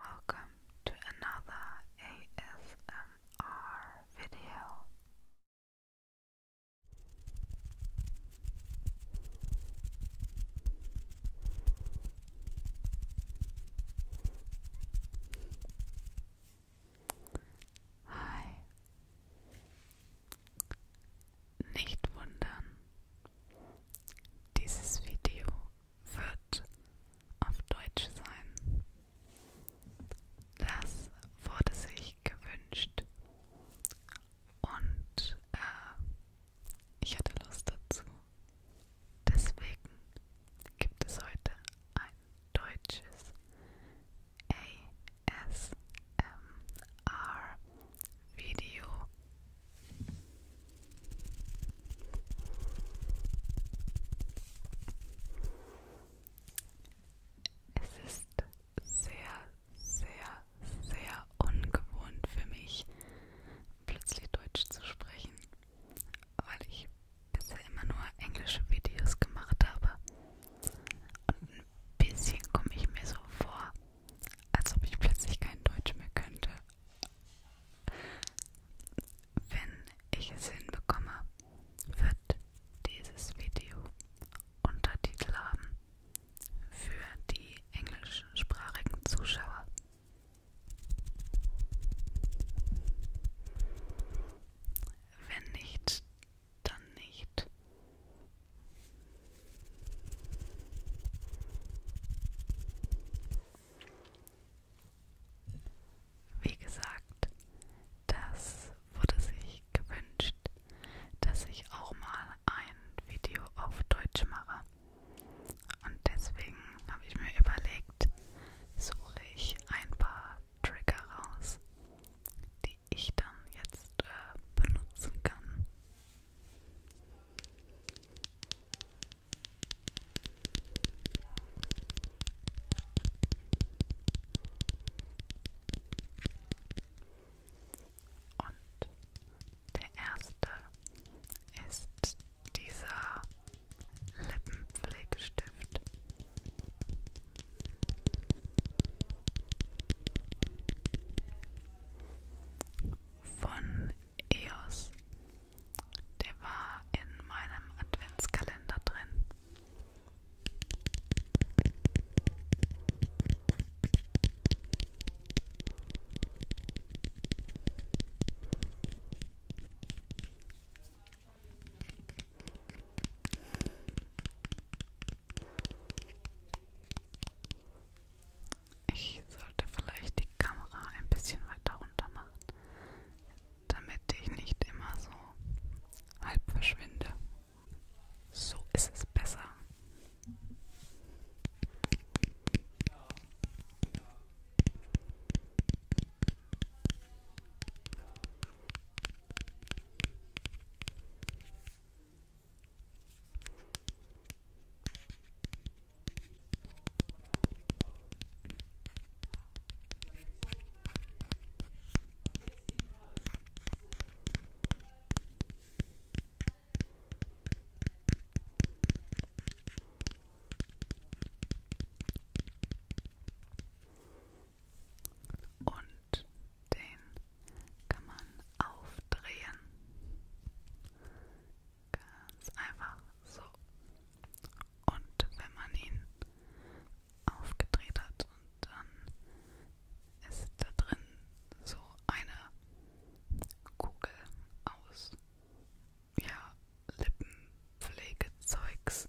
Welcome to another ASMR video. Hi. Nicht wundern. Dieses Video wird auf Deutsch sein. Das wurde sich gewünscht und äh, ich hatte Lust dazu. Deswegen gibt es heute ein deutsches ASMR-Video es ist sehr, sehr, sehr ungewohnt für mich, plötzlich Deutsch zu sprechen, weil ich bisher immer nur englische Videos gemacht habe. Und ein bisschen komme ich mir so vor, als ob ich plötzlich kein Deutsch mehr könnte. Wenn ich es hinbekomme, wird dieses Video Untertitel haben für die englischsprachigen Zuschauer. Wenn nicht, dann nicht. Wie gesagt, das wurde sich gewünscht, dass ich auch mal ein Video auf Deutsch mache. Und deswegen habe ich mir überlegt, suche ich ein paar Trigger raus, die ich dann jetzt äh, benutzen kann. Und der erste ist dieser Lippenpflegestift. Von EOS. Der war in meinem Adventskalender drin. Ich sollte vielleicht die Kamera ein bisschen weiter runter machen, damit ich nicht immer so halb verschwinde. So ist es besser. Und den kann man aufdrehen. Ganz einfach so. Und wenn man ihn aufgedreht hat und dann ist da drin so eine Kugel aus ja, Lippenpflegezeugs.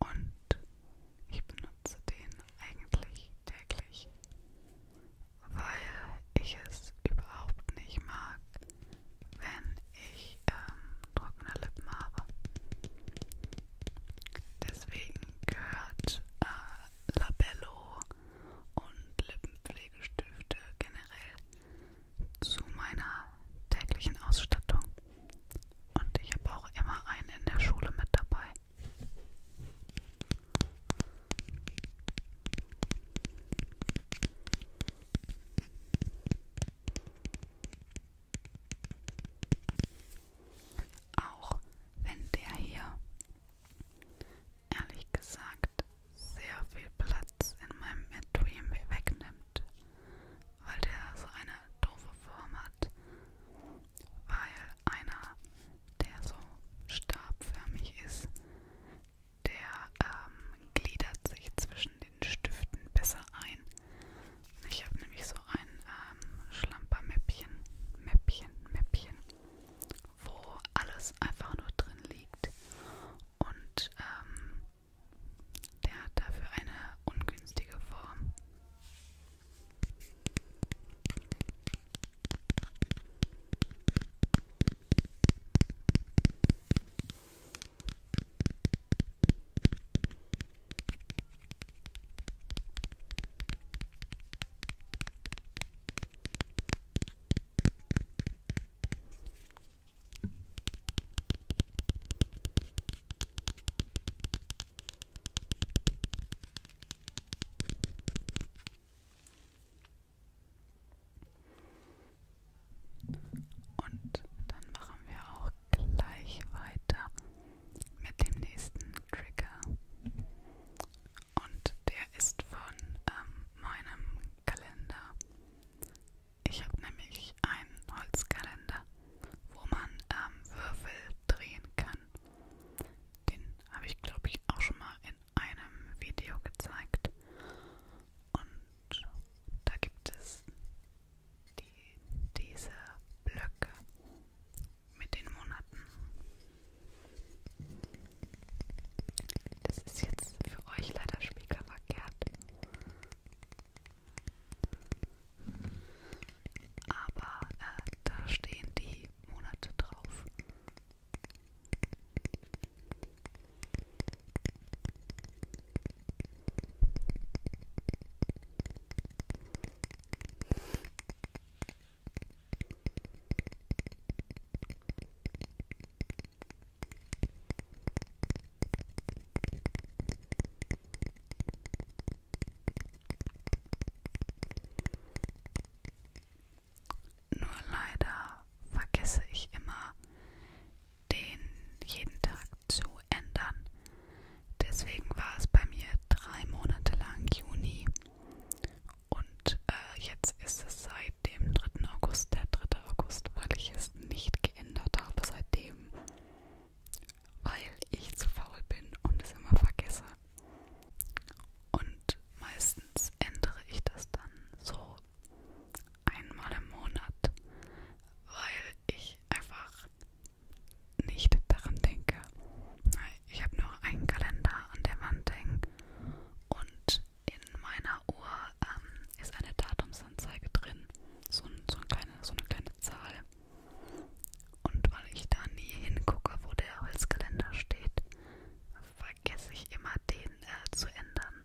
Und ich benutze den eigentlich täglich, weil ich es überhaupt nicht mag, wenn ich ähm, trockene Lippen habe. Deswegen gehört äh, Labello und Lippenpflegestifte generell zu meiner täglichen Ausstattung. Und ich habe auch immer einen in der Schule mit dabei. Auch wenn der hier ehrlich gesagt sehr viel Platz in meinem Dream wegnimmt, weil der so eine doofe Form hat, weil einer, der so stabförmig ist, der ähm, gliedert sich zwischen den den Stiften besser ein. Ich habe nämlich so ein ähm, Schlampermäppchen, Mäppchen, Mäppchen, wo alles einfach nur drin liegt. Und ähm, der hat dafür eine ungünstige Form. Und dann machen wir auch auch gleich weiter mit dem nächsten Trigger. Und der ist von ähm, meinem Kalender. Ich habe nämlich einen Holzkalender, wo man ähm, Würfel drehen kann. Den habe ich, glaube ich, auch schon mal in einem Video gezeigt. Und da gibt es die, diese Blöcke mit den Monaten. Das ist jetzt für euch leider spiegelverkehrt. Aber äh, da stehen die Monate drauf. Nur leider vergesse ich immer, den jeden Tag zu ändern. Deswegen war es bei mir drei Monate lang Juni und äh, jetzt ist es seit dem 3. August, der 3. August, weil ich es nicht geändert habe seitdem, weil ich zu faul bin und es immer vergesse. Und meistens ändere ich das dann so einmal im Monat, weil ich einfach nicht daran denke. Ich habe nur einen Kalender an der Wand hängen und in meiner Uhr ähm, ist eine Datumsanzeige drin, so, so, eine kleine, so eine kleine Zahl. Und weil ich da nie hingucke, wo der Holzkalender steht, vergesse ich immer den äh, zu ändern.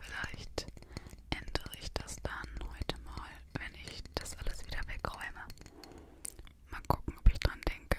Vielleicht ändere ich das dann heute mal, wenn ich das alles wieder wegräume. Mal gucken, ob ich dran denke.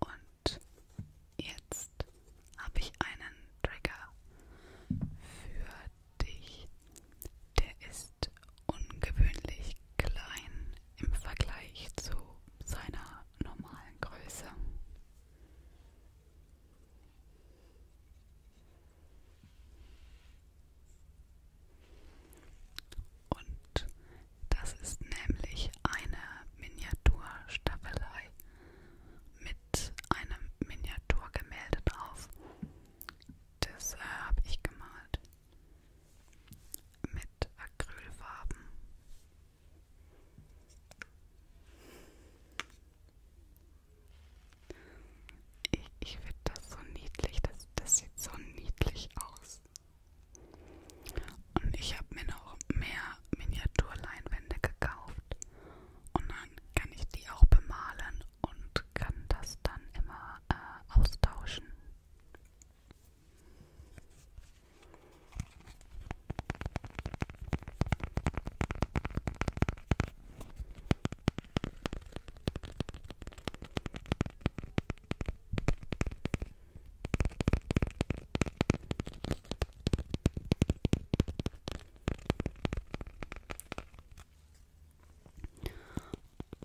Und jetzt habe ich einen Trigger für dich. Der ist ungewöhnlich klein im Vergleich zu seiner normalen Größe. Und das ist nämlich eine Miniaturstaffelei mit einem Miniaturgemälde drauf. Das äh, habe ich gemalt mit Acrylfarben. Ich, ich finde das so niedlich. Das, das sieht so niedlich aus. Und ich habe mir noch mehr Miniaturleinwände gekauft. Und dann kann ich die auch bemalen und kann das dann immer äh, austauschen.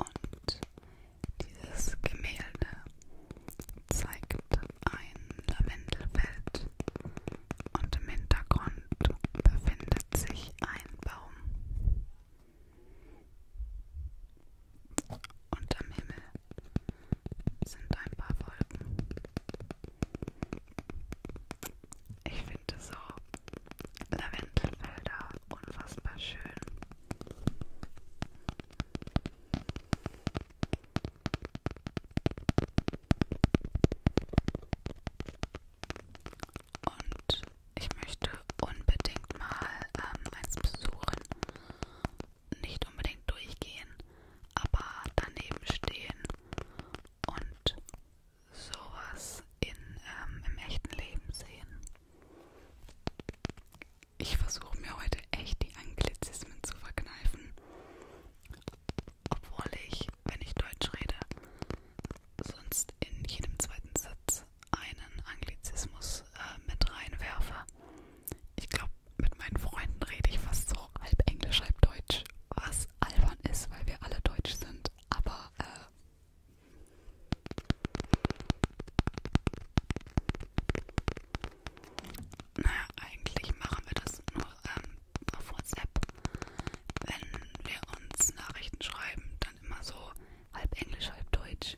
Und dieses Gemälde zeigt ein Lavendelfeld und im Hintergrund befindet sich ein Baum. Und am Himmel sind ein paar Wolken. Ich finde so Lavendelfelder unfassbar schön. Und ich möchte unbedingt mal ähm, eins besuchen. Nicht unbedingt durchgehen, aber daneben stehen und sowas in, ähm, im echten Leben sehen. Ich versuche mir heute echt die Anglizismen zu verkneifen. Obwohl ich, wenn ich Deutsch rede, sonst in jedem zweiten Satz einen Anglizismus äh, mit reinwerfe. Ich glaube, mit meinen Freunden rede ich fast so halb Englisch, halb Deutsch, was albern ist, weil wir alle Deutsch sind. Aber äh, naja, eigentlich machen wir das nur ähm, auf WhatsApp. Wenn wir uns Nachrichten schreiben, dann immer so halb Englisch, halb Deutsch.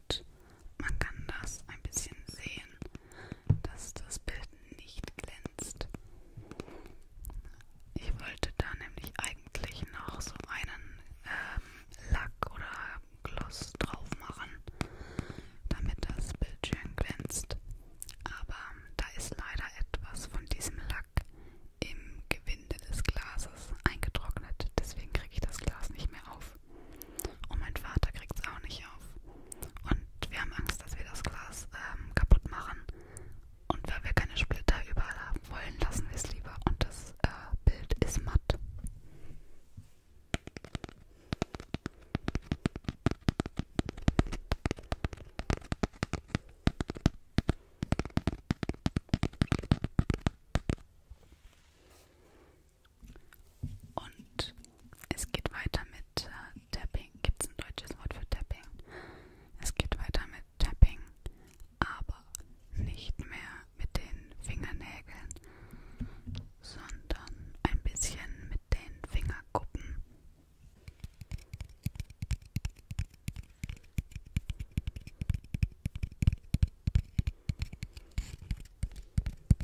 und man kann das ein bisschen sehen, dass das Bild nicht glänzt. Ich wollte da nämlich eigentlich noch so einen ähm, Lack oder Gloss drauf machen, damit das Bild schön glänzt. Aber da ist leider etwas von diesem Lack im Gewinde des Glases eingetrocknet. Deswegen kriege ich das Glas nicht mehr auf. Und mein Vater kriegt es auch nicht auf. Und wir haben Angst, dass wir das Glas ähm, kaputt machen. Und weil wir keine Splitter überall haben wollen, lassen wir es lieber. Und das äh, Bild ist matt. Und es geht weiter mit äh, Tapping. Gibt es ein deutsches Wort für Tapping? Es geht weiter mit Tapping, aber nicht mehr mit den Fingernägeln, sondern ein bisschen mit den Fingerkuppen.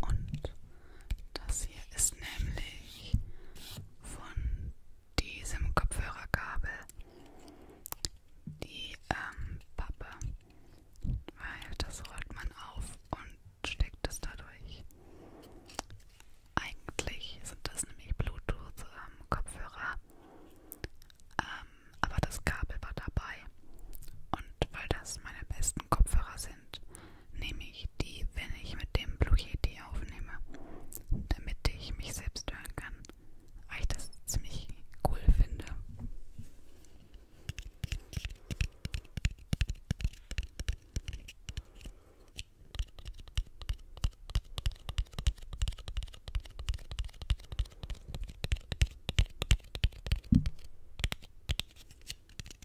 Und das hier ist nämlich von diesem Kopfhörerkabel die ähm, Pappe, weil das rollt man auf und steckt es dadurch. Eigentlich sind das nämlich Bluetooth-Kopfhörer, ähm, ähm, aber das Kabel war dabei. Und weil das meine besten Kopfhörer sind, nämlich die, wenn ich mit dem Blue Yeti aufnehme. Damit ich mich selbst hören kann, weil ich das ziemlich cool finde.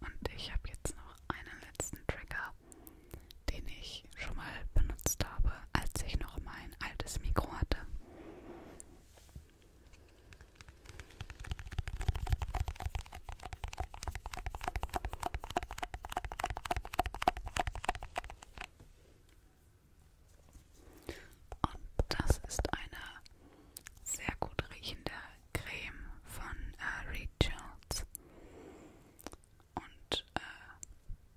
Und ich habe jetzt noch einen letzten Trigger, den ich schon mal benutzt habe, als ich noch mein altes Mikro hatte. Und das ist eine sehr gut riechende Creme von äh, Rachel's. Und äh,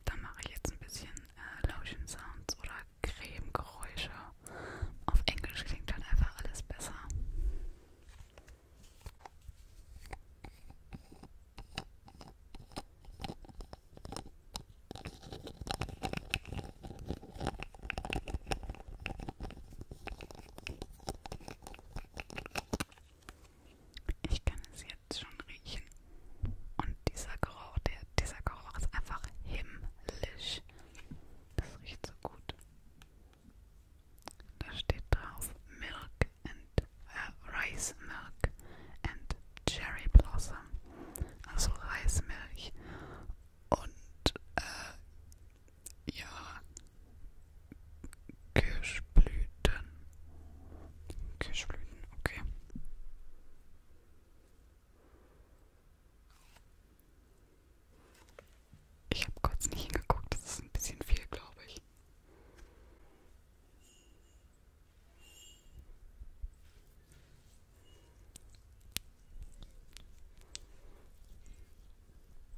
da mache ich jetzt ein bisschen äh, Lotion Sounds oder Cremegeräusche. Auf Englisch klingt dann halt einfach alles besser. Ich kann es jetzt schon riechen. Und dieser Geruch, der, dieser Geruch ist einfach himmlisch. Das riecht so gut. Da steht drauf Milk and äh, Rice Milk and Cherry Blossom. Also Reismilch und äh, ja, Kirschblüten. Kirschblüten, okay. Ich habe kurz nicht hingeguckt, das ist ein bisschen viel, glaube ich.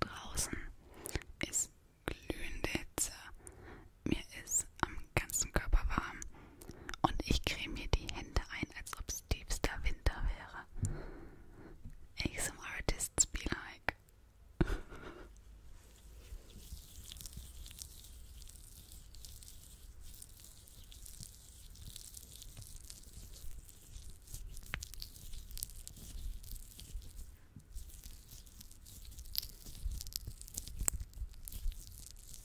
Draußen ist glühende Hitze mir ist am ganzen Körper warm und ich creme mir die Hände ein, als ob es tiefster Winter wäre. ASM Artists be like.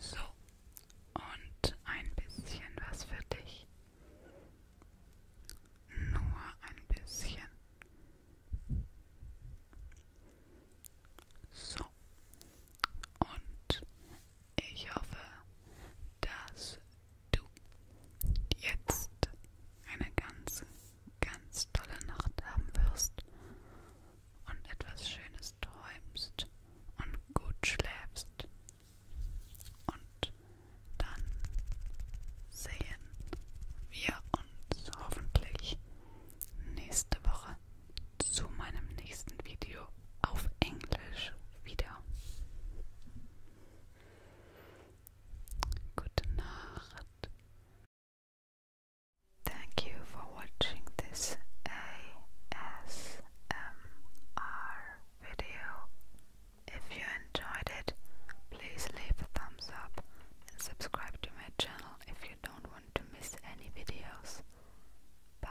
So, und ein bisschen was für dich. Nur ein bisschen. So, und ich hoffe, dass du jetzt eine ganz, ganz tolle Nacht haben wirst und etwas Schönes träumst und gut schläfst. Und dann sehen wir uns hoffentlich nächste Woche zu meinem nächsten Video auf Englisch wieder. Good night. Thank you for watching this ASMR video. If you enjoyed it, please leave a thumbs up and subscribe to my channel if you don't want to miss any videos. Bye.